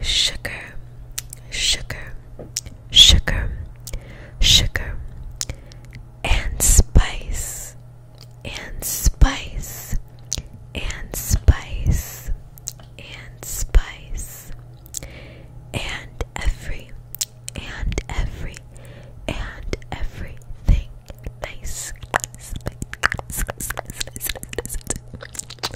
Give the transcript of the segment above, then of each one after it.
sugar, sugar, sugar, sugar, and spice, and spice, and spice, and spice, and every, and every, and everything nice.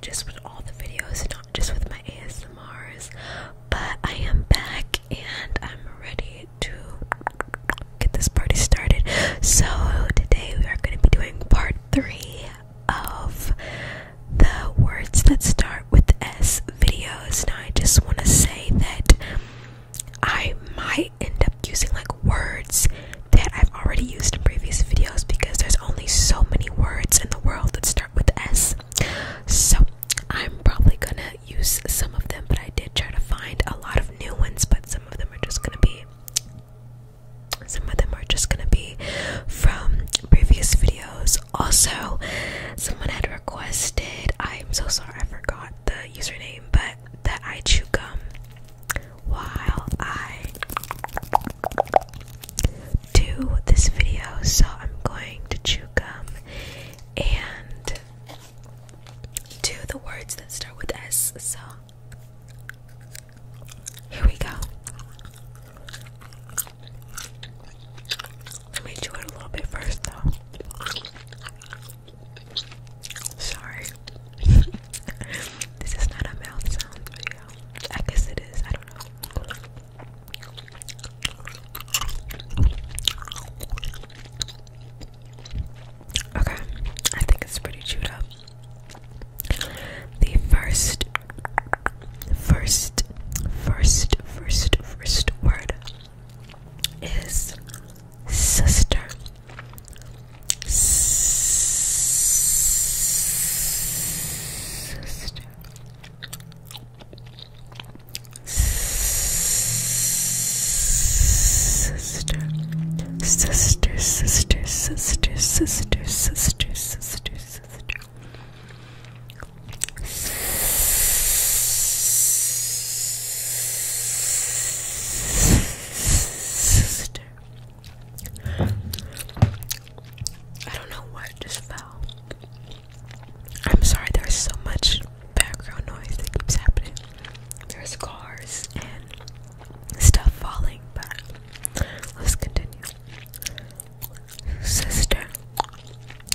just with all the videos, not just with my ASMRs. But I am back and I'm ready to get this party started. So today we are going to be doing part three of the words that start with S videos. Now I just want to say that I might end up using like words that I've already used in previous videos because there's only so many words in the world that start with S. So I'm probably gonna use some of them, but I did try to find a lot of new ones, but some of them are just gonna be some of them are just gonna be from previous videos. Also, someone had requested I'm so sorry I forgot the username, but that I chew gum while I to this video, so I'm going to chew gum and do the words that start with S. So here we go. Let me chew it a little bit first, though. Sorry. this is not a mouth sound video. I guess it is. I don't know. Okay, I think it's pretty chewed up. The first, first, first, first, first word is sister. Sister. Sister, sister, sister, sister, sister, sister, sister, sister. Sister. I don't know what just fell. I'm sorry, there's so much background noise that keeps happening. There's cars and stuff falling, but let's continue. Sister,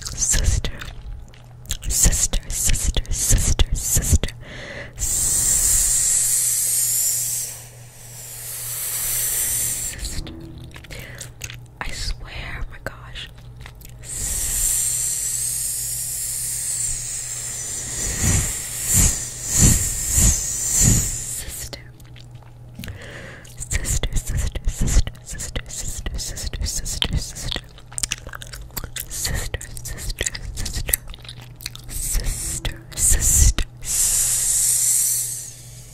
sister, sister, sister, sister, sister. Sister. I swear, oh my gosh. sister, sister, sister, sister, sister, sister, sister. Sister, sister, sister, sister, sister, sister,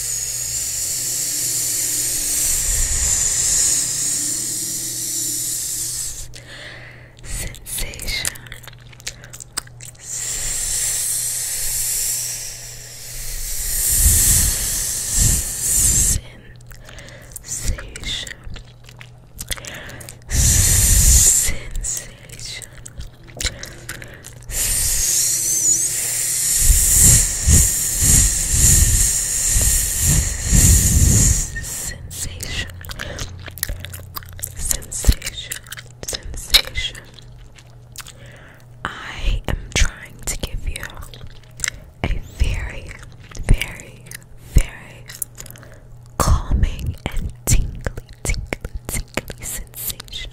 Sensation. Sensation. Sensation. Sensation, sensation, sensation. I am trying to give you a very, very, very calming and tingly, tingly, tingly sensation.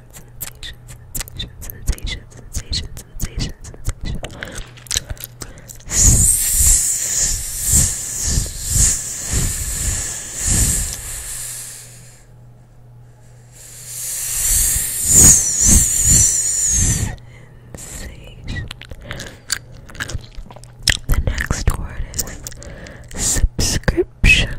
sensation, sensation, sensation, sensation, sensation, The next word is Subscription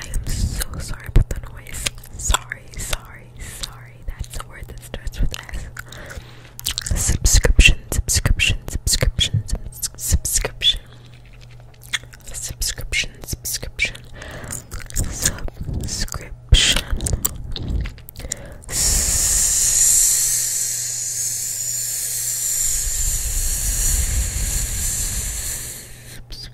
I am so sorry about the noise. Sorry, sorry, sorry. That's a word that starts with S. Subscription, subscription, subscription, subscription, subscription, subscription, subscription,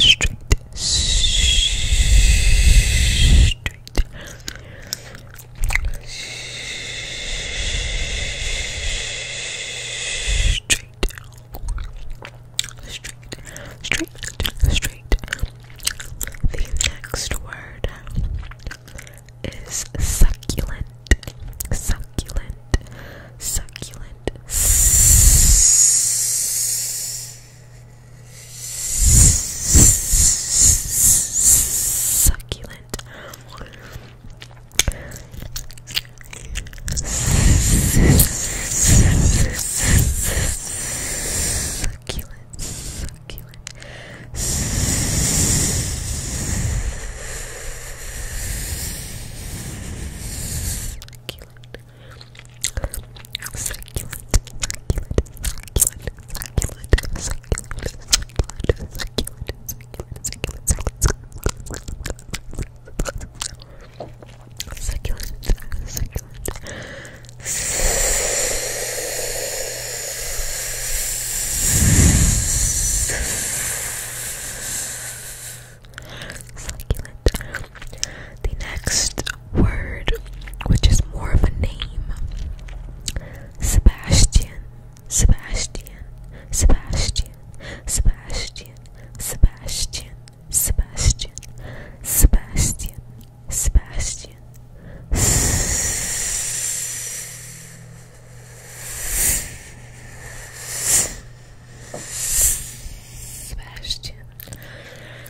straight, straight, straight. Straight, straight, straight. The next word is succulent, succulent, succulent. Succulent. Succulent. Succulent. Succulent. Succulent, succulent, succulent, succulent, succulent, succulent, succulent, succulent, succulent, succulent, succulent, succulent, the next word, which is more of a name, Sebastian, Sebastian, Sebastian, Sebastian, Sebastian, Sebastian, Sebastian, Sebastian. Sebastian.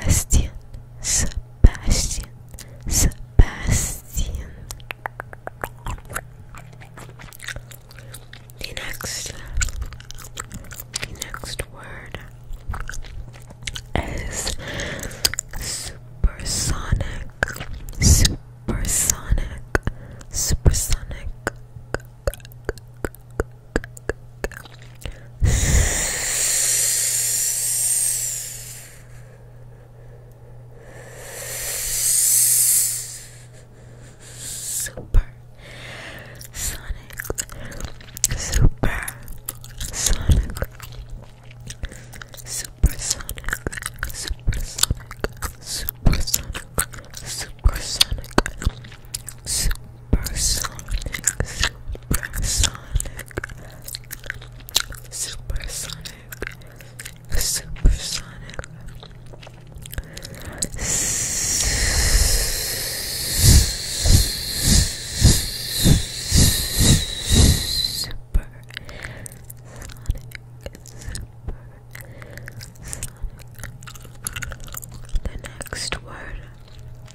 Sebastian, Sebastian, Sebastian. The next, the next word is supersonic, supersonic, supersonic. Super Sonic Super Sonic Super Sonic Super Sonic Super Sonic Super Sonic Super Sonic Super Sonic Supersonic, supersonic, supersonic, supersonic, supersonic. The next word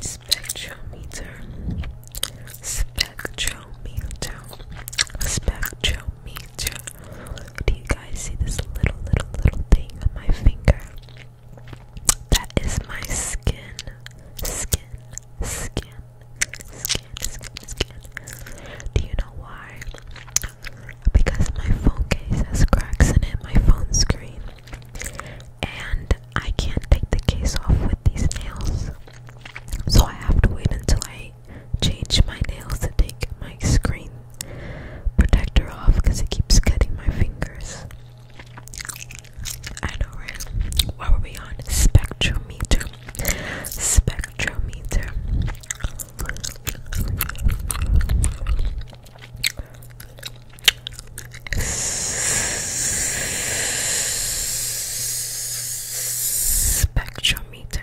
spectrometer spectrometer spectrometer do you guys see this little little little thing on my finger that is my skin skin skin skin skin skin do you know why because my phone case has cracks in it my phone screen and I can't take the case off with these nails. So I have to wait until I change my nails to take my screen protector off because it keeps cutting my fingers. I know, right? What were we on? Spectrometer. Spectrometer. Spectrometer.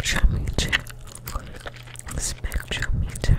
Spectrometer. Spectrometer. Spectrometer.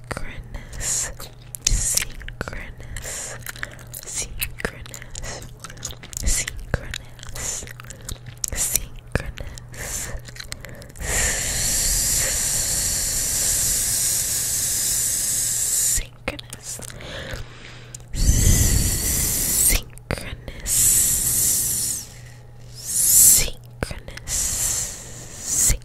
synchronous, synchronous, synchronous, synchronous, synchronous. Synchronous. Synchronous. Synchronous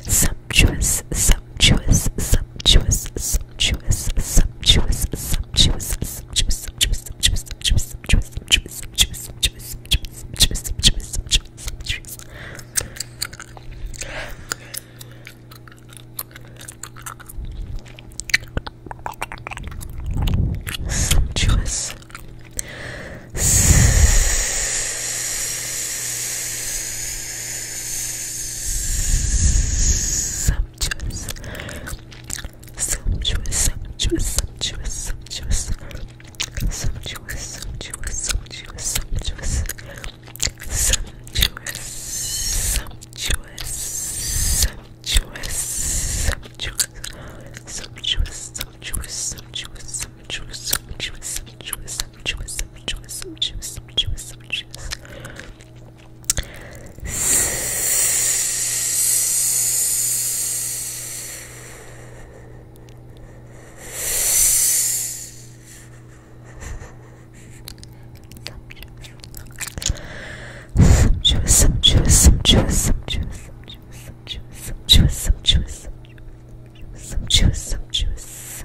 Sumptuous, sumptuous, sumptuous, sumptuous, sumptuous, sumptuous, sumptuous, sumptuous, sumptuous, sumptuous, sumptuous, sumptuous, sumptuous, sumptuous, sumptuous, sumptuous, sumptuous, sumptuous. Sumptuous. Sumptuous. Sumptuous. Sumptuous, sumptuous, sumptuous, sumptuous. Sumptuous, sumptuous, sumptuous, sumptuous. Sumptuous, sumptuous, sumptuous, sumptuous. Sumptuous, sumptuous, sumptuous, sumptuous, sumptuous, sumptuous, sumptuous sumptuous, sumptuous, sumptuous, sumptuous. Sumptuous, sumptuous, sumptuous, sumptuous, sumptuous, sumptuous, sumptuous, sumptuous, sumptuous, sumptuous, sumptuous,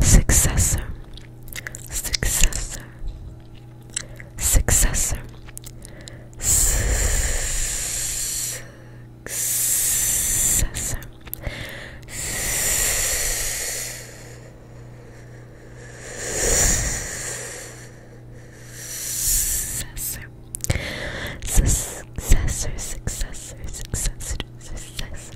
successor, successor, successor, successor, successor, successor, successor, successor, successor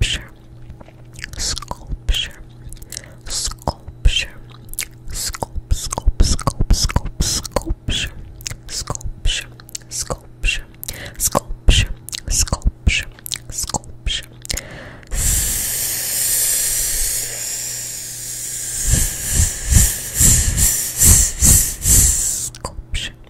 sculpture, sculpture, sculpture, sculpt, sculpt, sculpt, sculpt, sculpture, sculpture, sculpture, sculpture, sculpture, sculpture. Sculpture,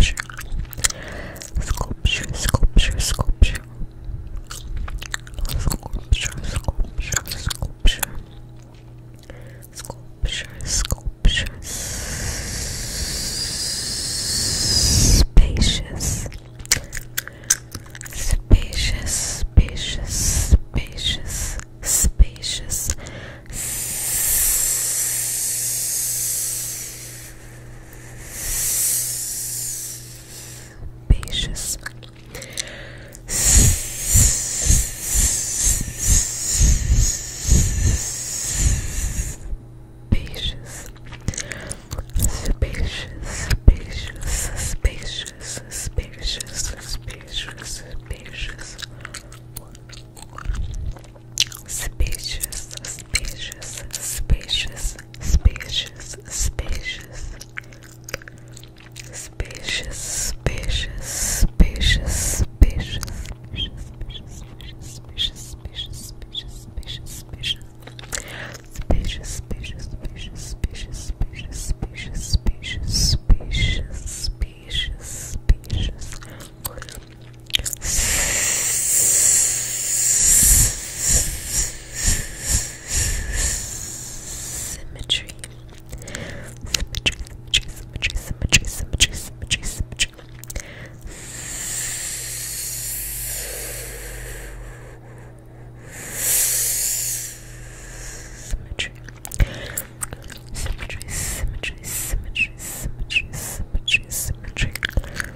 sculpture, sculpture, sculpture, sculpture, sculpture, sculpture, sculpture, spacious, spacious, spacious, spacious, spacious. Spacious. Spacious. Spacious, spacious, spacious, spacious, spacious, spacious. Spacious, spacious, spacious, spacious, spacious. Spacious, spacious, spacious, spacious, spacious, spacious, spacious, spacious, spacious, spacious. Spacious, spacious, spacious, spacious, spacious, spacious, spacious, spacious, spacious, spacious. Symmetry. Symmetry, symmetry, symmetry, symmetry, symmetry, symmetry. Symmetry. Symmetry, symmetry, symmetry, symmetry, symmetry, symmetry.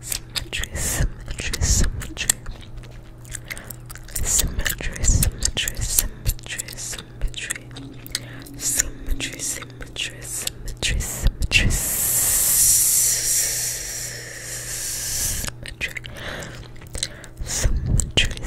Symmetry, symmetry, symmetry. Symmetry, symmetry, symmetry, symmetry. Symmetry, symmetry, symmetry, symmetry. Symmetry. Symmetry. Symmetry.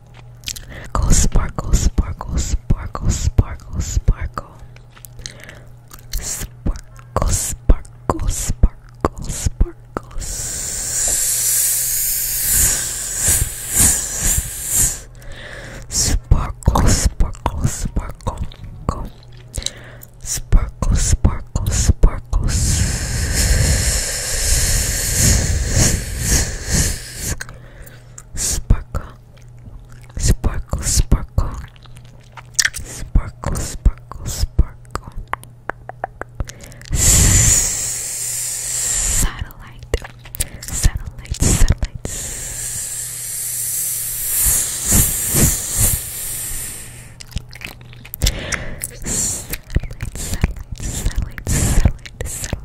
Go sparkle, sparkle, sparkle, sparkle, sparkle. Sparkle, sparkle, sparkle, sparkle. Sparkle, sparkle, sparkle, go. Sparkle, sparkle, sparkle sparkle, sparkle, sparkle, sparkle, sparkle, sparkle. Satellite, satellite, satellite. Satellite, satellite, satellite, satellite, satellite.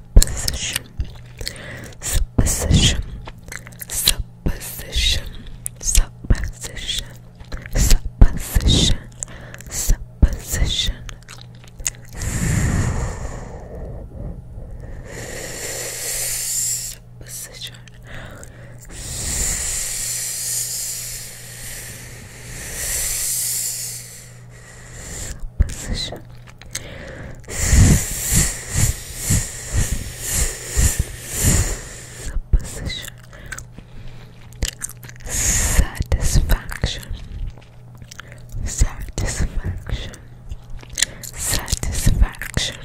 supposition, supposition, supposition, supposition, supposition, supposition. Supposition. Supposition. Supposition. Satisfaction. Satisfaction. Satisfaction. Satisfaction.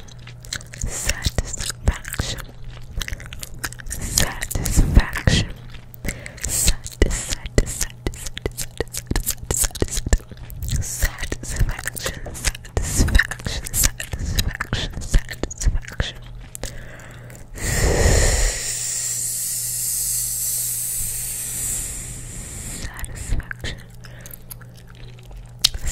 Satisfaction. Satisfaction. Satisfaction satisfaction, satisfaction, satisfaction, satisfaction. Satisfaction. Satisfaction. Satisfaction.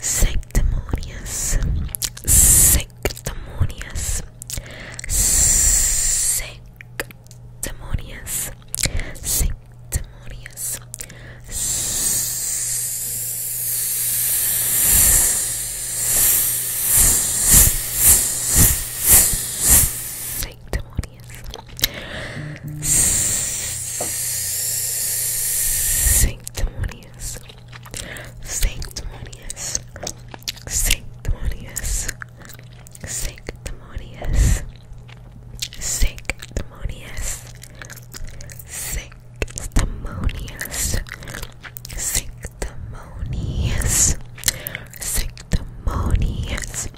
sanctimonious, sanctimonious, sanctimonious, sanctimonious, sanctimonious, sanctimonious sanctimonious, sanctimonious, sanctimonious, sanctimonious, sanctimonious, sanctimonious, sanctimonious, sanctimonious, sanctimonious,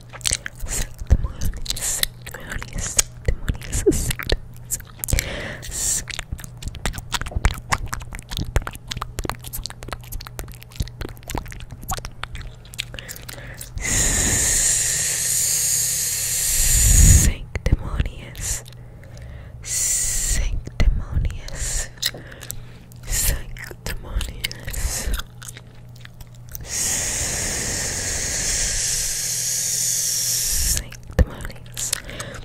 sanctimonious, sanctimonious, Sanctimonious, sanctimonious, sanctimonious, sanctimonious.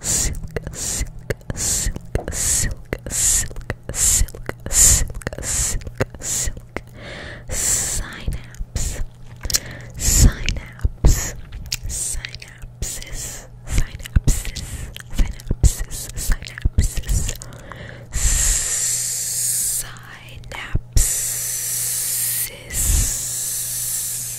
silk, silk, silk, silk, silk, silk, silk, silk, silk, synapse, synapse, synapses, synapses, synapses, synapses, synapses.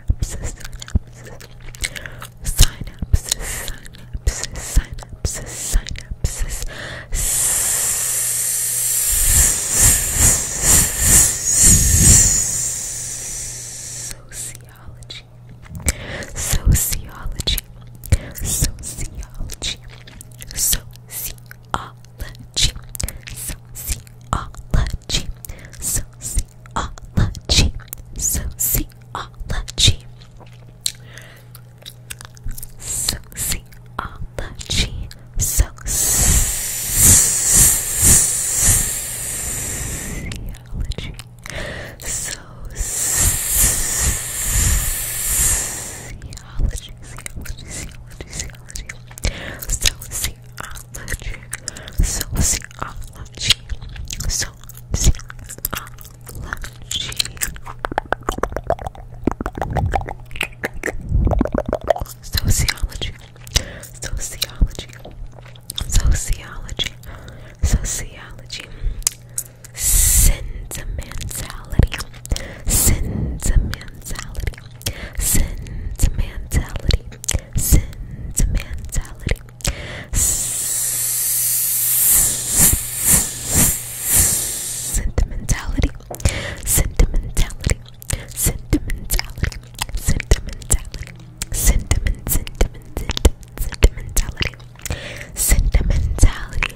synapses, synapses, synapses, synapses, synapses, Sociology, sociology, sociology, sociology, sociology sociology, sociology, sociology, sociology, sociology, sociology, sociology, sociology, sociology, sociology, sociology, sociology, sociology, sociology, sentimentality, sentimentality, sentimentality sentimentality. Sentimentality. Sentimentality. Sentimentality. Sentimentality. Sentiment. Sentiment. Sentimentality. Sentimentality. Sentimentality.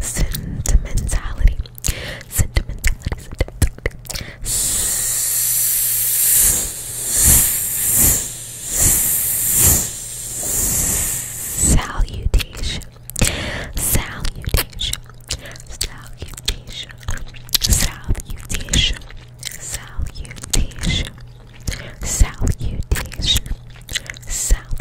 Sentimentality. Sentimentality. Sentimentality. Salutation. Salutation. Salutation. Salutation. Salutation. Salutation. Salutation.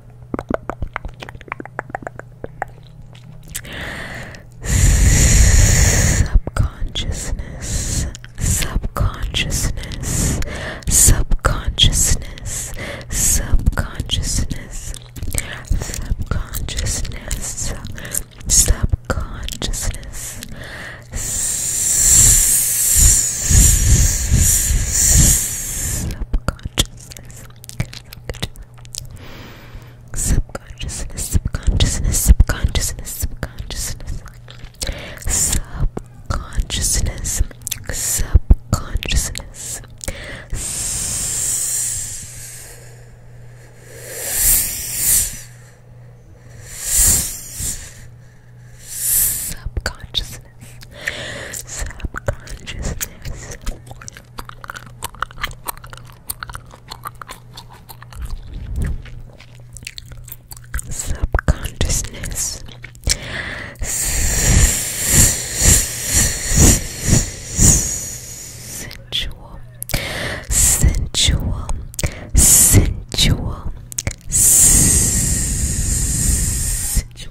Subconsciousness, subconsciousness, subconsciousness, subconsciousness, subconsciousness, subconsciousness. Subconsciousness subconsciousness. Subconsciousness, subconsciousness, subconsciousness, subconsciousness. Subconsciousness, subconsciousness. Subconsciousness subconsciousness. Subconsciousness. Sensual, sensual, sensual, sensual.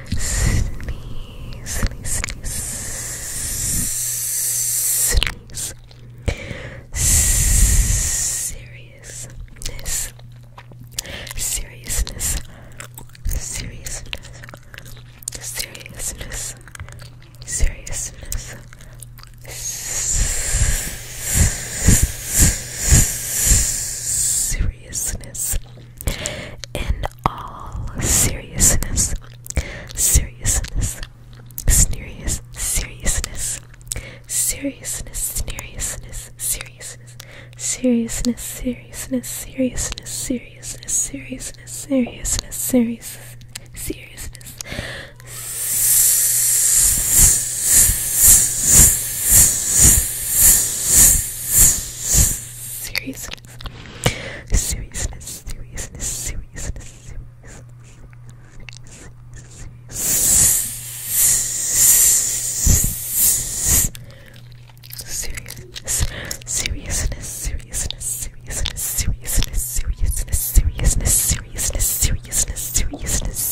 sneeze, sneeze, sneeze, seriousness, seriousness, seriousness, seriousness, seriousness. Seriousness, in all seriousness, seriousness, serious, seriousness, seriousness, seriousness, seriousness, seriousness, seriousness, seriousness, seriousness, seriousness, seriousness, serious, seriousness. Seriousness seriousness, seriousness, seriousness, seriousness, seriousness, seriousness, seriousness, seriousness, seriousness, seriousness, seriousness, seriousness, seriousness, seriousness, seriousness, seriousness. Seriousness,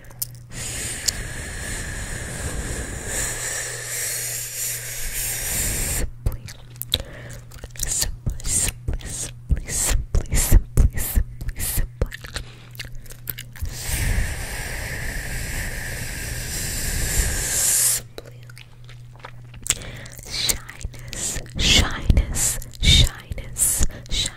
Simply, simply, simply, simply, simply, simply, simply, simply. Simply. Shyness, shyness, shyness, shyness,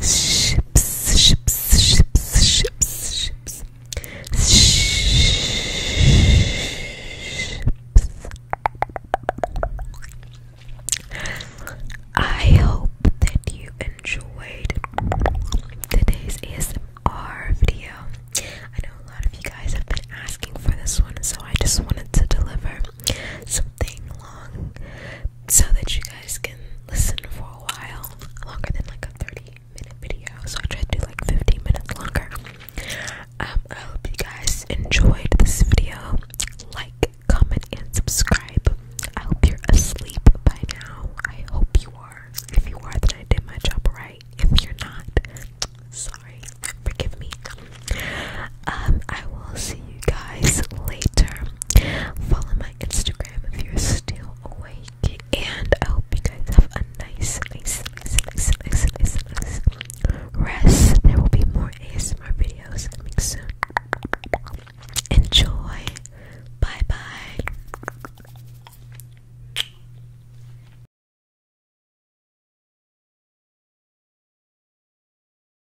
Ships, ships, ships, ships, ships. Ships. I hope that you enjoyed today's ASMR video. I know a lot of you guys have been asking for this one, so I just wanted to deliver something long so that you guys can listen for a while longer than like a 30 minute video. So I tried to do like 15 minutes longer. Um, I hope you guys enjoyed this video. Like, comment, and subscribe. I hope you're asleep by now. I hope you are. If you are, then I did my job right. If you're not, sorry, forgive me um, I will see you guys later. Follow my Instagram if you're still awake, and I hope you guys have a nice, nice, nice, nice, nice, nice, nice rest. There will be more ASMR videos coming soon. Enjoy. Bye bye.